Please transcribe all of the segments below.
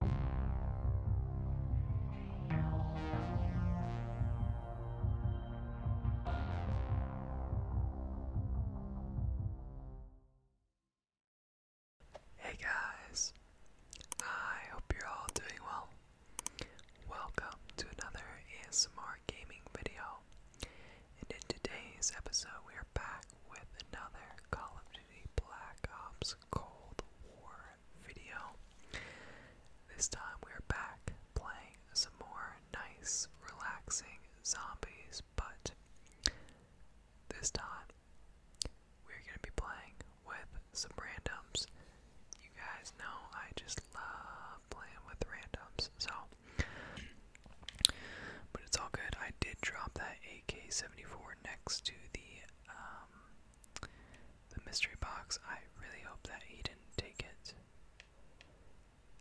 Hey guys, I hope you're all doing well. Welcome to another ASMR gaming video, and in today's episode, we are back with another Call of Duty Black Ops Cold War video. This time we are back playing some more nice, relaxing zombies, but this time we're going to be playing with some randoms. You guys know I just love playing with randoms, so. But it's all good. I did drop that AK 74 next to the um, the mystery box. I really hope that he didn't take it.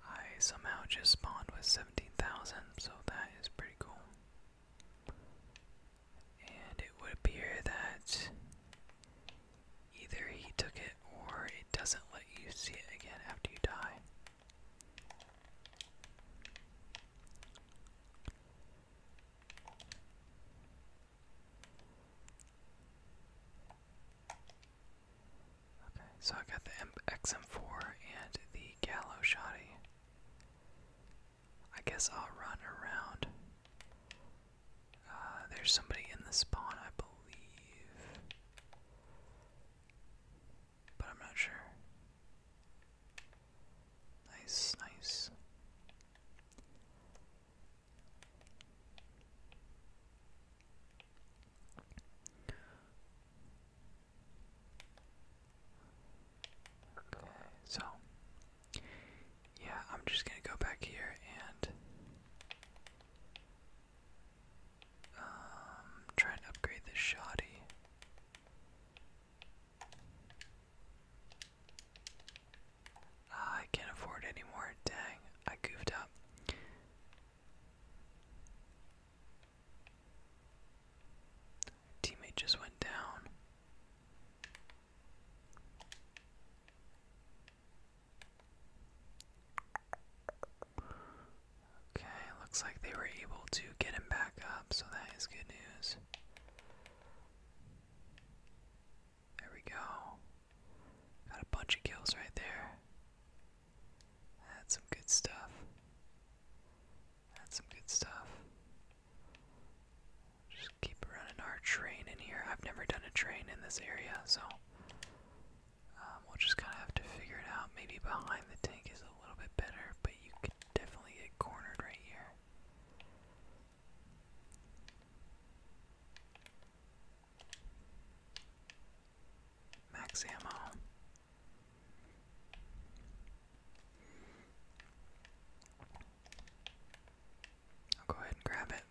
I somehow just spawned with 17,000, so that is pretty cool. And it would appear that either he took it or it doesn't let you see it again after you die. Okay, so I got the M XM4 and the Gallo Shotty. I guess I'll run around. Uh, there's somebody in the spawn, I believe. But I'm not sure. Nice, nice. Okay, so yeah, I'm just gonna go back here and um, try and upgrade this shoddy. Ah, I can't afford any more. Dang, I goofed up. Teammate just went down. Okay, looks like they were able to get him back up, so that is good news. There we go. Got a bunch of kills right there. That's some good stuff. That's some good stuff. Just keep running our train in here. I've never done a train in this area, so um, we'll just kind of have to figure it out. Maybe behind the tank is a little bit better, but you definitely get cornered right here. Max ammo. I'll go ahead and grab it.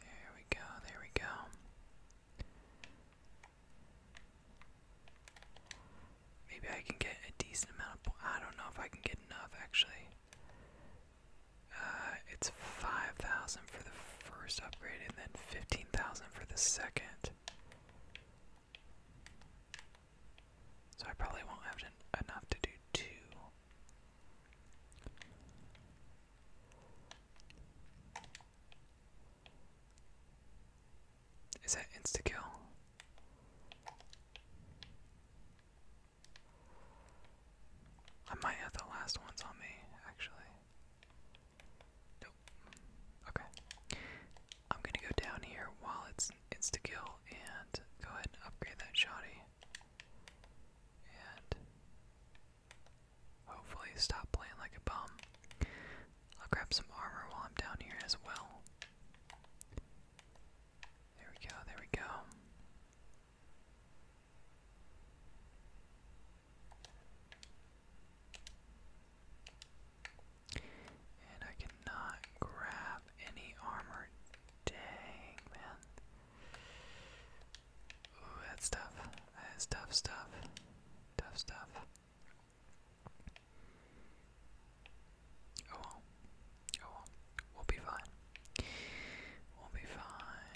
There we go, there we go. Maybe I can get a decent amount of points. I don't know if I can get enough actually. Uh, it's 5,000 for the first upgrade and then 15,000 for the second. So I probably won't have enough to do two. Is that insta kill? I might have the last ones on me, actually. Nope. Okay. I'm gonna go down here while it's insta and go ahead and upgrade that shoddy. And Hopefully stop playing like a bum. I'll grab some armor while I'm down here as well. There we go, there we go. And I cannot grab any armor. Dang, man. Ooh, that's tough. That's tough stuff. Tough stuff. Oh well. Oh well. We'll be fine. We'll be fine.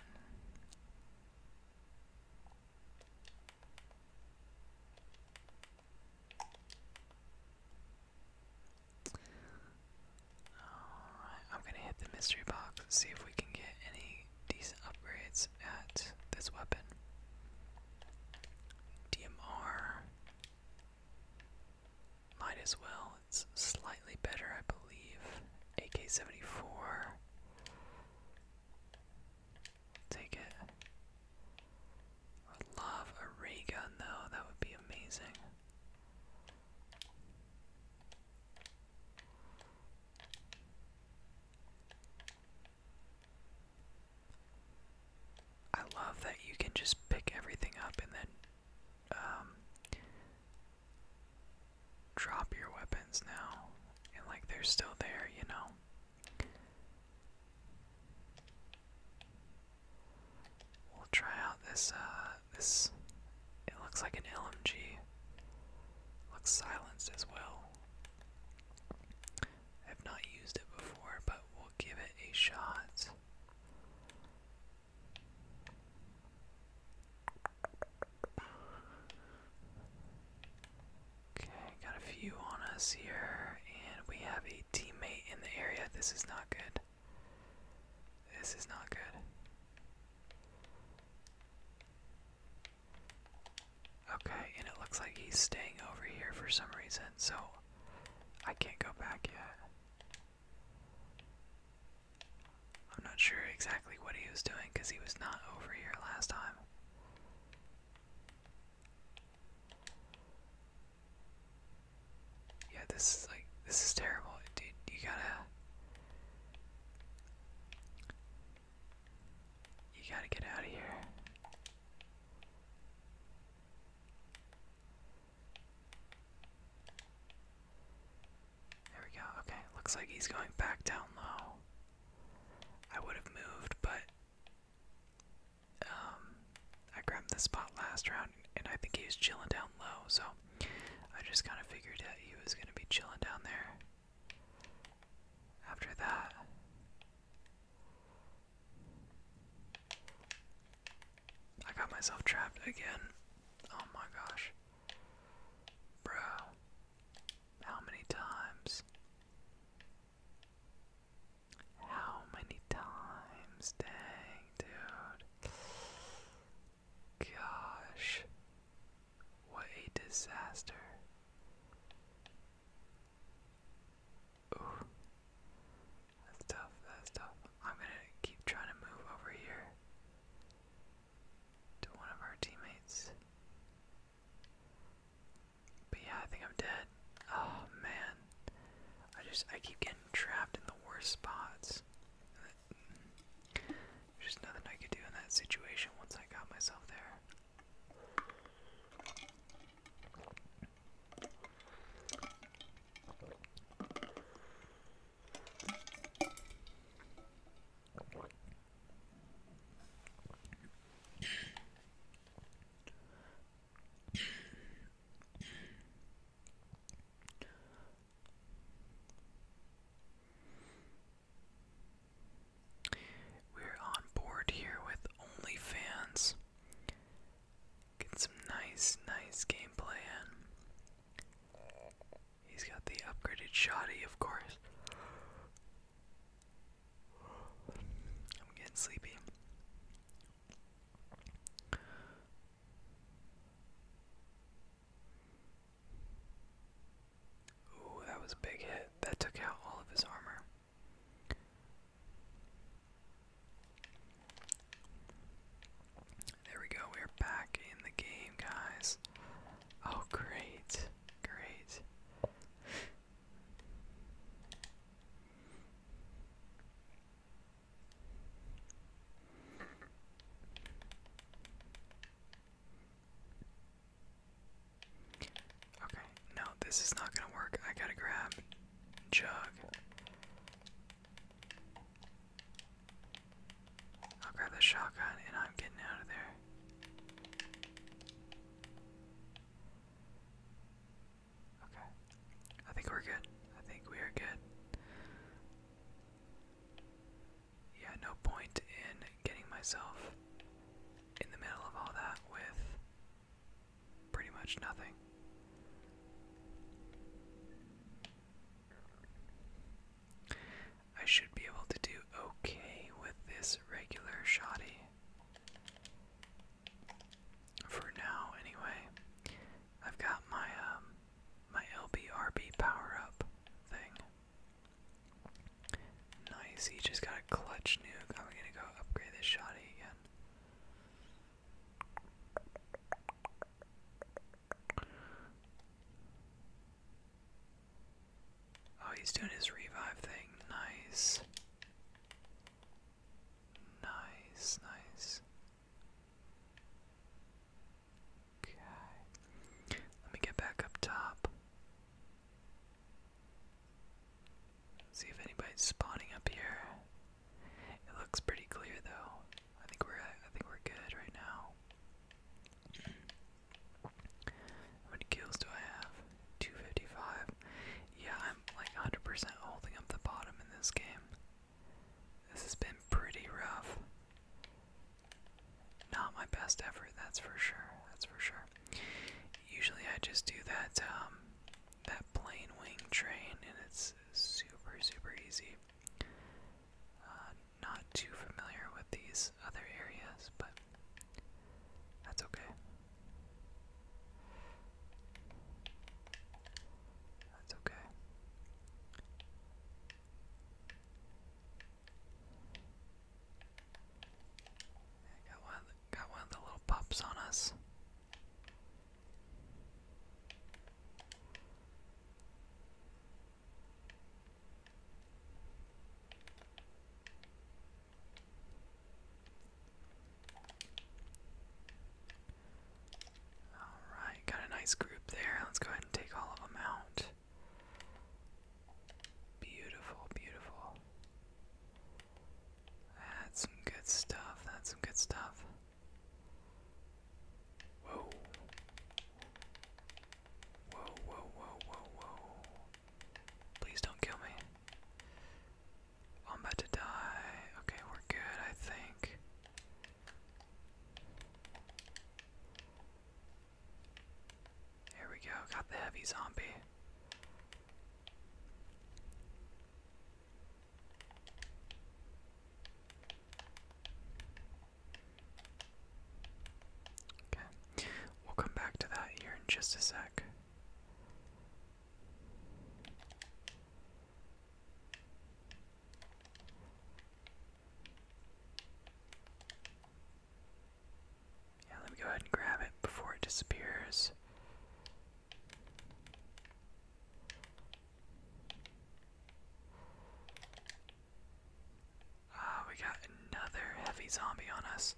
Alright, I'm gonna hit the mystery box, see if we can get any decent upgrades at this weapon. DMR might as well. It's slightly better, I believe. AK-74. Take it. love a ray gun though, that would be amazing. I love that you can just pick everything up and then um, drop your weapons now. And like they're still there, you know. We'll try out this uh this it looks like an LMG. Looks silenced as well. I've not used it before, but we'll give it a shot. Okay, got a few on us here, and we have a teammate in the area. This is not good. This is not good. Okay, and it looks like he's staying over here for some reason, so I can't go back yet. I'm not sure exactly what he was doing because he was not over here last time. Yeah, this is like this is terrible, dude. You gotta you gotta get out of here. There we go. Okay, looks like he's going back down low. I would have moved, but um, I grabbed the spot last round, and I think he was chilling down low. So I just kind of figured that he was gonna be chilling down there. After that, I got myself trapped again. Oh my gosh. Bro, how many times? How many times? Dang, dude. Gosh. What a disaster. Ooh. That's tough, that's tough. I'm gonna keep trying to move over here to one of our teammates. But yeah, I think I'm dead. Oh man. I just I keep getting trapped in the worst spots. There's just nothing I could do in that situation once I got myself there. We're on board here with OnlyFans. Get some nice, nice gameplay in. He's got the upgraded shotty, of course. I'm getting sleepy. Ooh, that was a big hit. That took out all of his armor. There we go. We're back in the game, guys. Oh, great. Great. Okay, no, this is not gonna work. I gotta grab Jug. I'll grab the shotgun and I'm getting out of there. Okay. I think we're good. I think we are good yeah, no point in getting myself in the middle of all that with pretty much nothing. I should be able to do okay with this regular shoddy. For now, anyway. I've got my um, my LBRB power up thing. Nice, he just got a clutch nuke. I'm gonna go upgrade this shotty again. Oh, he's doing his revive thing. Nice. Nice, nice. Okay. Let me get back up top. See if anybody's spawning up here. It looks pretty clear though. I think we're I think we're good right now. How many kills do I have? 255. Yeah, I'm like 100% holding up the bottom in this game. This has been pretty rough. Not my best effort, that's for sure. That's for sure. Usually I just do that um, that plane wing train and it's super super easy. Uh, not too familiar with these other areas, but that's okay. That's okay. Got one, got one of the little pups on us. All right, got a nice group there. Let's go ahead and take all of them out. Beautiful, beautiful. That's some good stuff. That's some good stuff. Whoa. Whoa, whoa, whoa, whoa, Please don't kill me. I'm about to die. Okay, we're good, I think. Here we go, got the heavy zombie. Okay, we'll come back to that here in just a sec. Yeah, let me go ahead and grab it before it disappears. Ah, we got another heavy zombie on us.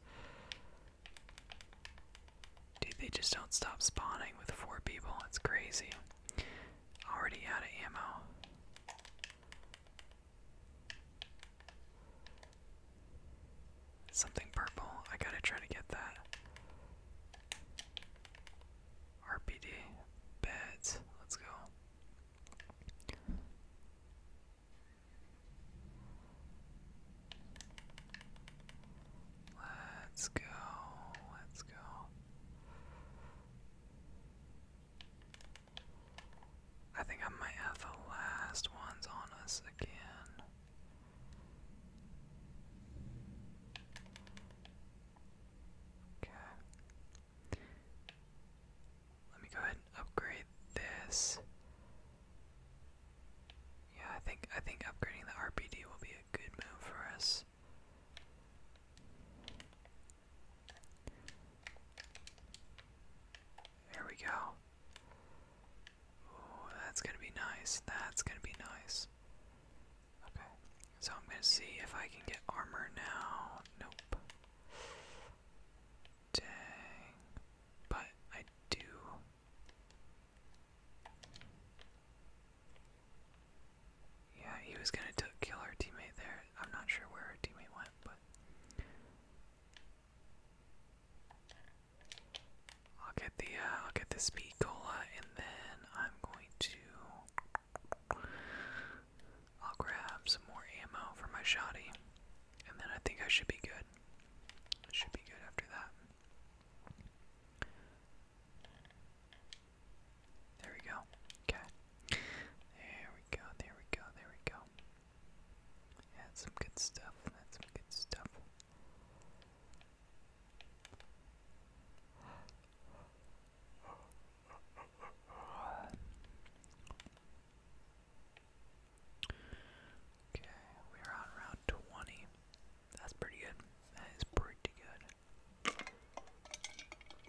Dude, they just don't stop spawning with four people. It's crazy. Already out of ammo. Something purple. I gotta try to get that. RPD. Bet. Let's go. Let's go. Let's go. I think I might have the last ones on us again. Okay. Let me go ahead and upgrade this. Yeah, I think I think upgrading the RPD will be a good move for us. There we go. that's gonna be nice. That's gonna be nice. Okay, so I'm gonna see if I can get armor now. Nope. Dang. But I do. Yeah, he was gonna kill our teammate there. I'm not sure where our teammate went, but. I'll get the uh, I'll get the speed cola, and then I'm going to I'll grab some more ammo for my shotty, and then I think I should be good. should be good after that. There we go. Okay. There we go, there we go, there we go. That's some good stuff. That's some good stuff. Okay, we're on round 20. That's pretty good. That is pretty good.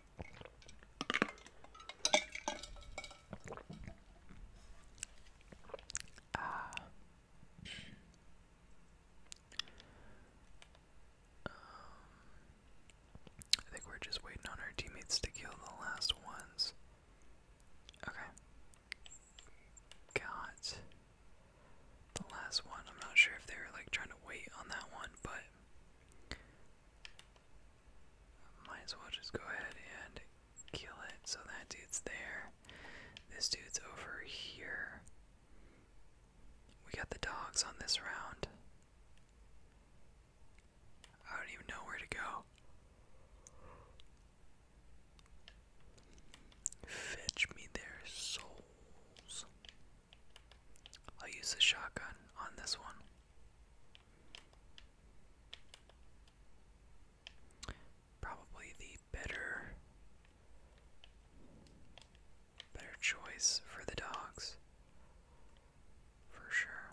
Uh, um, I think we're just waiting on our teammates to kill the last ones. Okay. Got the last one. I'm not sure if they were like trying to wait on that one, but might as well just go ahead and kill it. So that dude's there. This dude's over here. We got the dogs on this round. I don't even know where to go. Fetch me their souls. I'll use the shotgun on this one. Probably the better better choice for the dogs. For sure.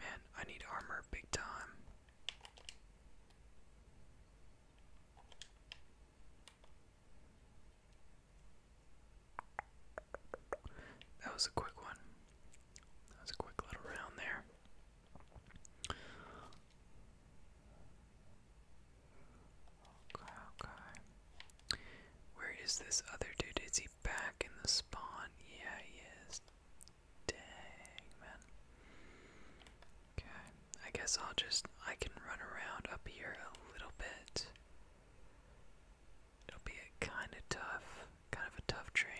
Man, I need armor big time. That was a quick one. That was a quick little round there. Okay, okay. Where is this other dude? Is he back in the spawn? Yeah, he is. Dang, man. Okay, I guess I'll just, I can run around up here a little bit. It'll be kind of tough, kind of a tough train.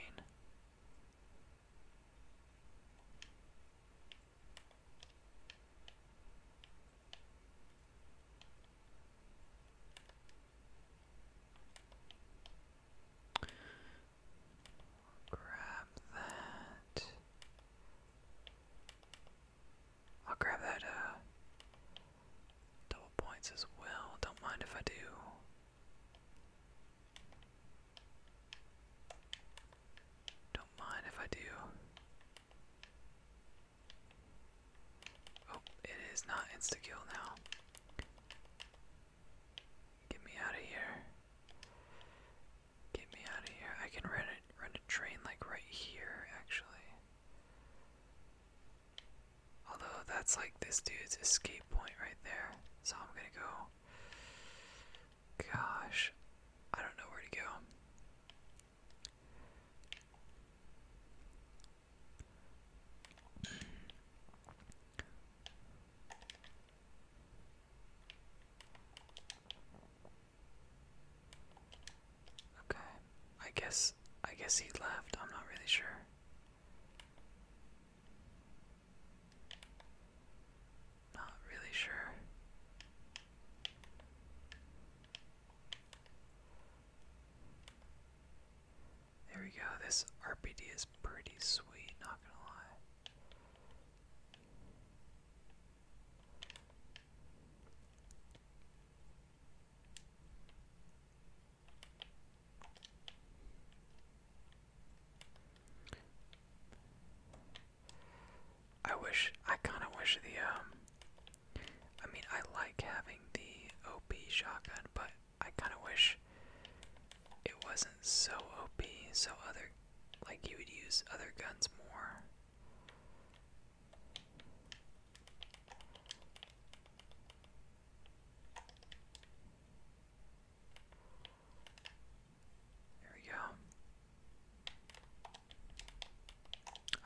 Grab that. I'll grab that uh, double points as well. Don't mind if I do. Don't mind if I do. Oh, it is not insta kill now. Get me out of here. Get me out of here. I can run a, run a train like right here, actually. Although that's like this dude's escape point right there. So I'm gonna go. Gosh, I don't know where to go. Okay. I guess I guess he left. I'm not really sure. Not really sure. There we go. This RPD is pretty sweet, not gonna lie. I wish, I kind of wish the, um, I mean, I like having the OP shotgun, but I kind of wish it wasn't so OP, so other like you would use other guns more. There we go.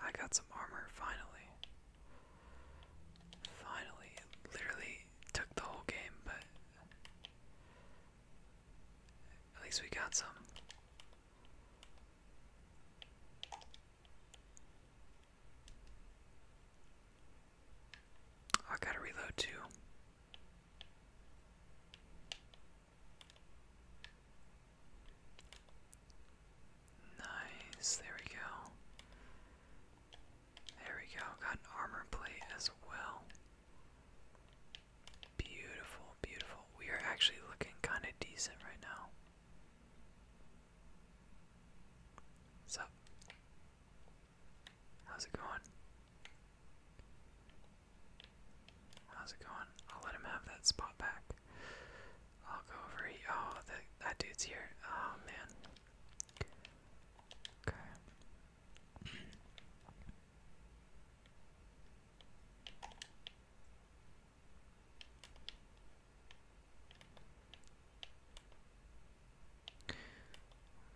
I got some armor finally. Finally, literally took the whole game, but at least we got some. Oh, I gotta reload too. Nice, there we go. There we go, got an armor plate as well. Beautiful, beautiful. We are actually looking kind of decent right now. What's up? How's it going? How's it going? I'll let him have that spot back. I'll go over here. Oh, that, dude's here. Oh, man. Okay. Look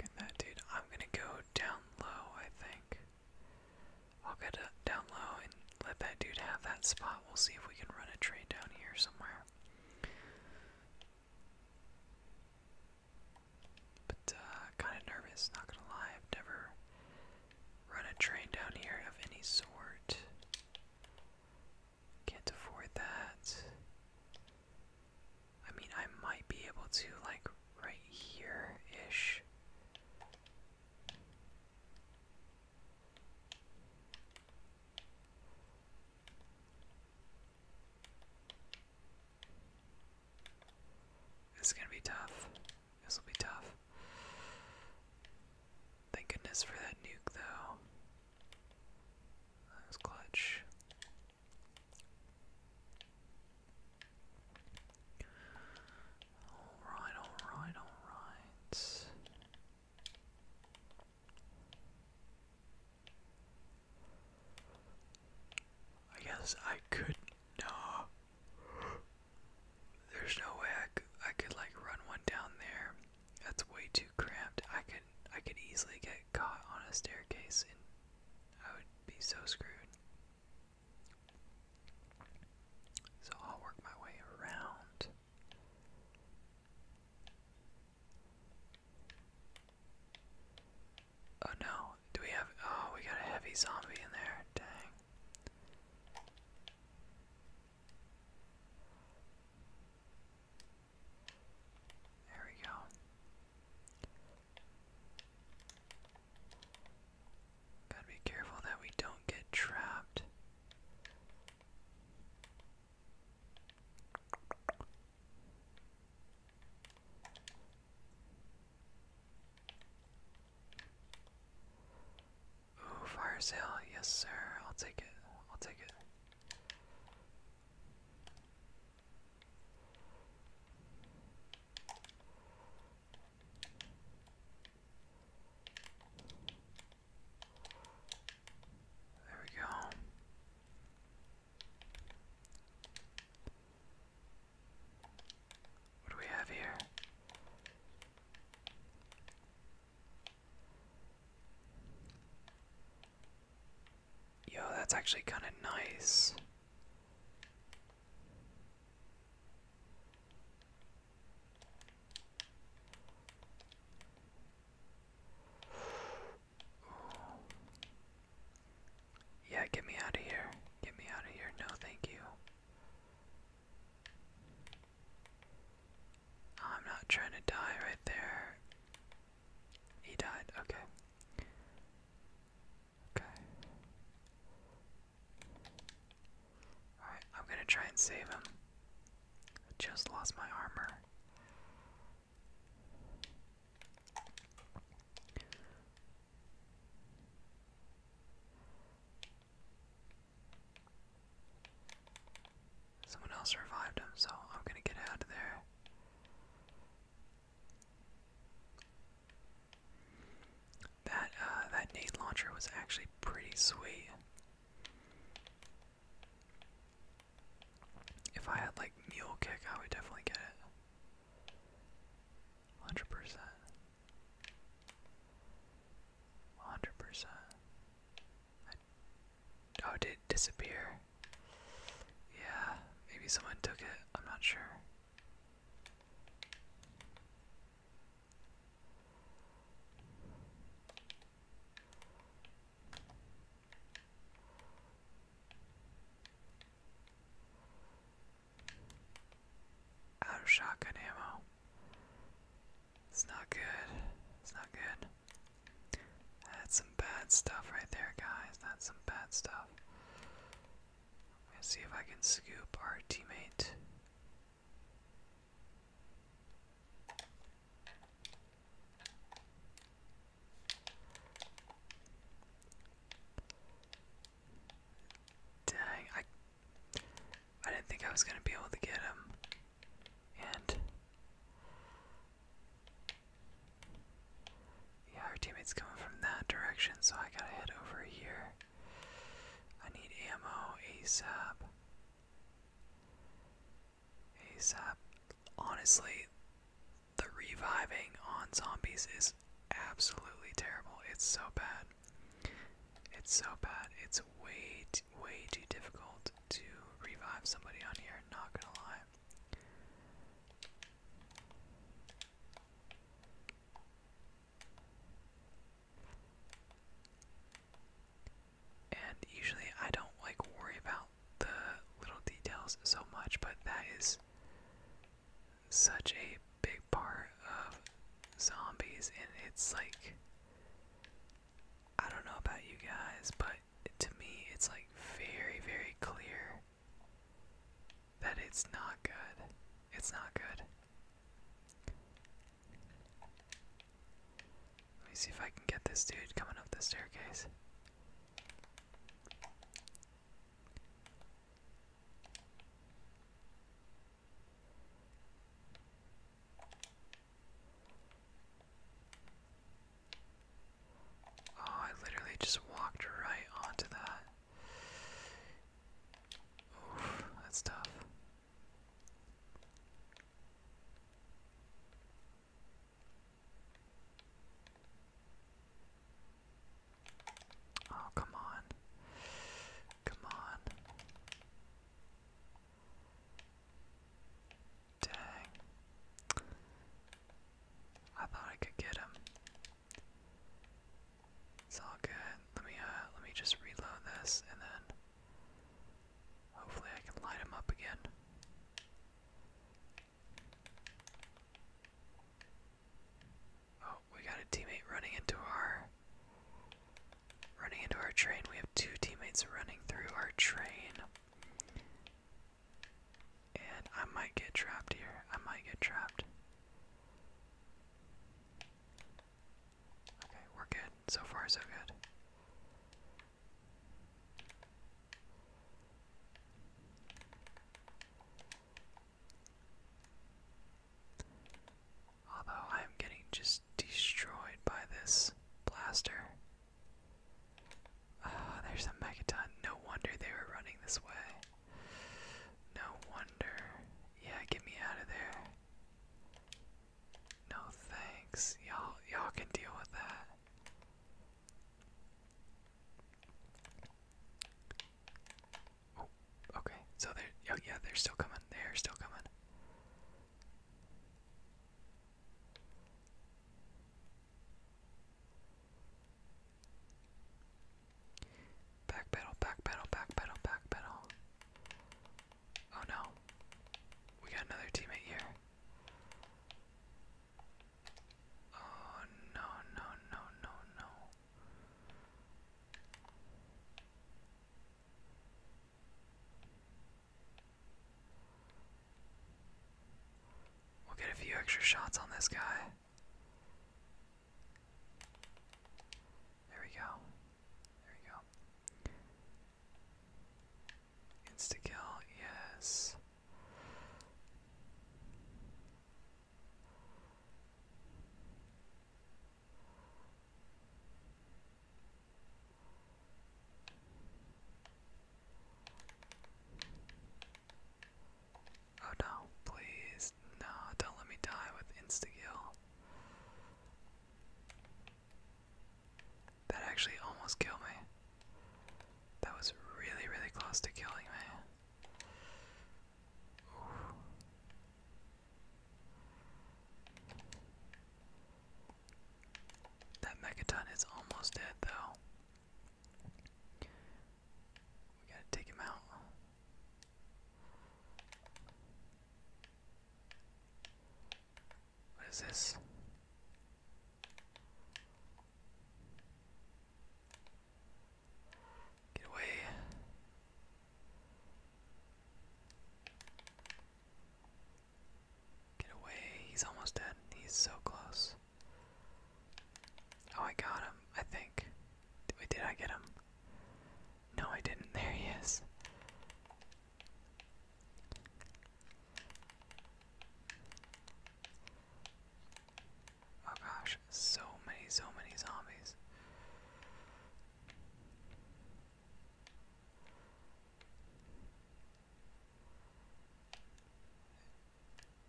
at that, dude. I'm gonna go down low, I think. I'll get down low and let that dude have that spot. We'll see if we can run a trade down here somewhere. But uh, kind of nervous, not gonna lie. I've never run a train down here of any sort. Can't afford that. I mean, I might be able to, like, right here ish. This is gonna be tough. This will be tough. Thank goodness for that nuke, though. That was clutch. Alright, alright, alright. I guess I could. No. There's no way I could, I could like run one down there. That's way too cramped. I could I could easily get caught on a staircase and I would be so screwed. So I'll work my way around. Oh no, do we have. Oh, we got a heavy zombie in there. Dang. There we go. Gotta be careful that we don't get trapped fire sale, yes sir, I'll take it, I'll take it. There we go. What do we have here? Yo, that's actually kind of nice. Yeah, get me out of here. Get me out of here. No, thank you. Oh, I'm not trying to die right there. He died. Okay. Okay. Alright, I'm gonna try and save him. I just lost my armor. Someone else survived him, so I'm gonna get out of there. That uh, that nade launcher was actually pretty sweet. If I had like mule kick, I would definitely get it. 100%. 100%. oh, did it disappear? Yeah, maybe someone took it. I'm not sure. Out of shotgun ammo. It's not good. It's not good. That's some bad stuff right there, guys. That's some bad stuff. Let's see if I can scoop our teammate. Dang, I I didn't think I was gonna be able to get him. And yeah, our teammate's coming from that direction, so I gotta head over here. I need ammo ASAP. ASAP. Honestly, the reviving on zombies is absolutely terrible. It's so bad. It's so bad. It's way, too, way too difficult to revive somebody on here, not gonna lie. And usually I don't like worry about the little details so much, but that is such a big part of zombies, and it's like I don't know about you guys, but to me, it's like very, very clear that it's not good. It's not good. Let me see if I can get this dude coming up the staircase. Oh, I literally just walked right onto that. Oof, that's tough. Oh, come on. Come on. Dang. I thought I could get him. It's all good. Let me uh let me just reload this and then hopefully I can light him up again. Oh, we got a teammate running into our running into our train. We have two teammates running through our train. And I might get trapped here. I might get trapped. Okay, we're good. So far so good. Although I am getting just destroyed by this blaster. Ah, there's a megaton. No wonder they were running this way. No wonder. Yeah, get me out of there. No thanks. Y'all y'all can deal with that. Oh, okay. So they're oh, yeah, they're still coming. They are still coming. Back pedal, back pedal, back pedal, back pedal. Oh no. We got another teammate here. Oh no no no no no. We'll get a few extra shots on this guy. There we go. There we go. Insta-kill, yes. Oh no, please, no, don't let me die with insta-kill. That actually almost killed me. That was really, really close to killing me. That Megaton is almost dead, though. We gotta take him out. What is this? Get away. Get away. He's almost dead. He's so close. Oh, I got him, I think. Did, did I get him? No, I didn't. There he is. Oh gosh, so many, so many zombies.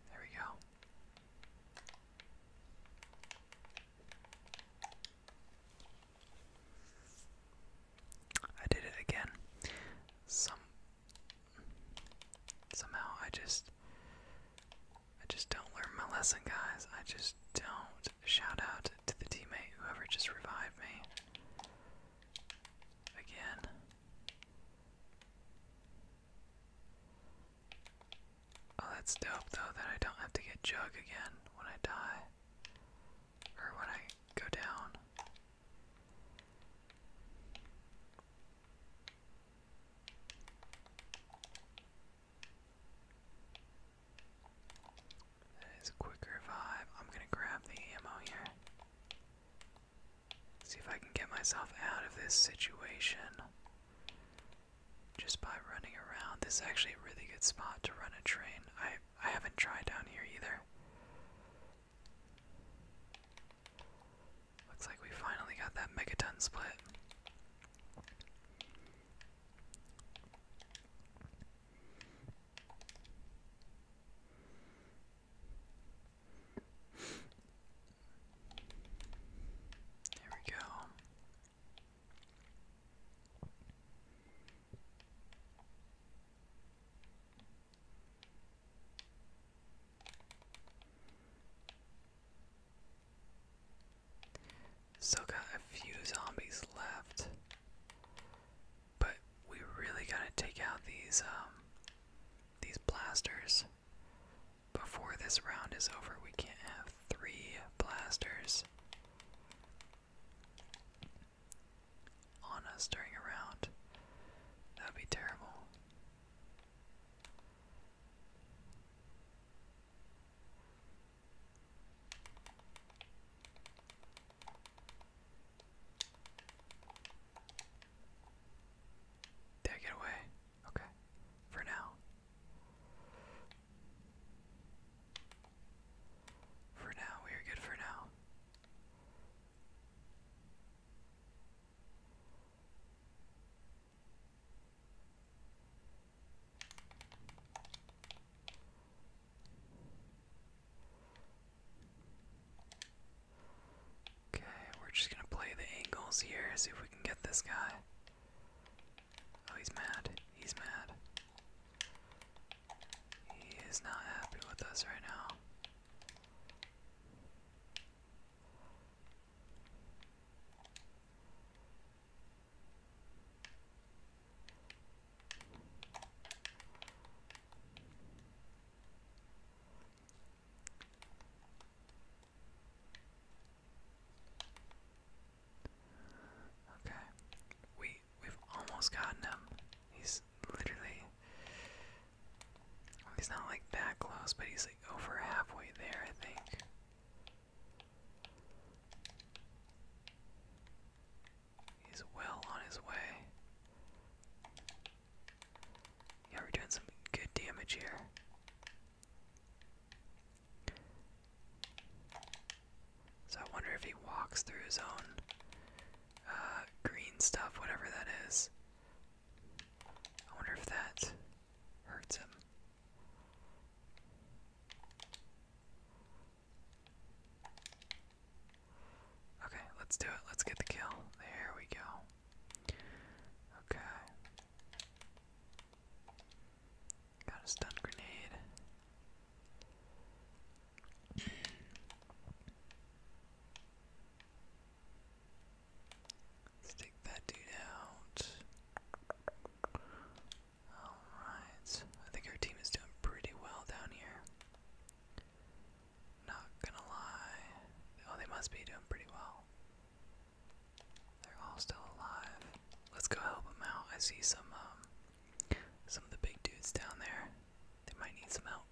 There we go. I did it again. Some Somehow I just I just don't learn my lesson, guys. I just don't. Shout out to the teammate whoever just revived me. Again. Oh, that's dope though that I don't have to get jug again when I die. Or when I go down. That is a quicker vibe. I'm gonna grab the ammo here. See if I can get myself out of this situation just by running around. This is actually a really good spot to run a train. I I haven't tried down here either. Looks like we finally got that megaton split. There we go. So, got a few zombies left, but we really gotta take out these um these blasters before this round is over. We can't have three blasters on us during a round. That would be terrible. Did I away? Okay. For now. For now, we are good for now. Okay, we're just gonna play the angles here, see if we can get this guy. Oh, he's mad. He's mad. He is not happy with us right now. Okay, we we've almost gotten him. He's literally he's not like that close, but he's like over halfway there, I think. He's well on his way. Yeah, we're doing some good damage here. So I wonder if he walks through his own uh, green stuff, whatever that is. I wonder if that hurts him. Okay, let's do it. Let's get the kill. There we go. Okay. Got a stun grenade. Let's that dude out. Alright. I think our team is doing pretty well down here. Not gonna lie. Oh, they must be doing pretty well. They're all still alive. Let's go help them out. I see some um some of the big dudes down there. They might need some help.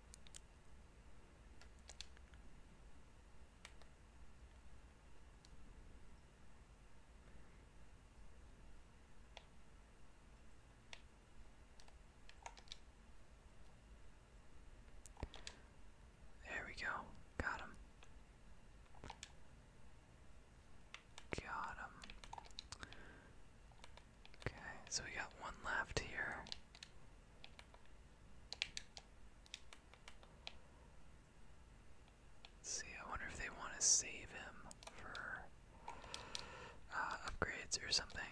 There we go. Got him. Got him. Okay, so we got one left here see, I wonder if they want to save him for uh, upgrades or something.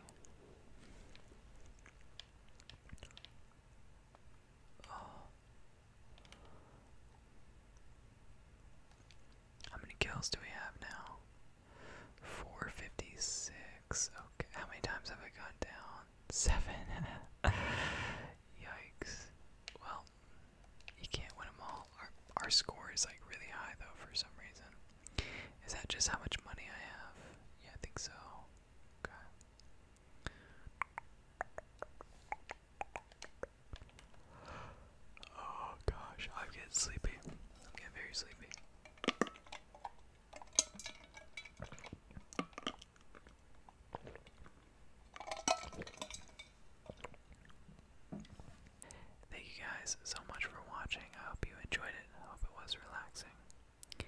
How many kills do we have now? 456 how many times have I gone down? Seven. Yikes. Well, you can't win them all. Our, our score is like really high though for some reason. Is that just how much money I have? Yeah, I think so. Okay. Oh gosh, I get sleepy. I'm getting very sleepy. Thank you guys so much for watching. I hope you enjoyed it. I hope it was relaxing. If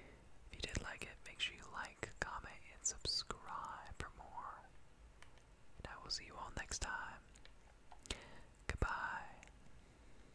you did like it, make sure you like, comment, and subscribe for more. And I will see you all next time. Goodbye.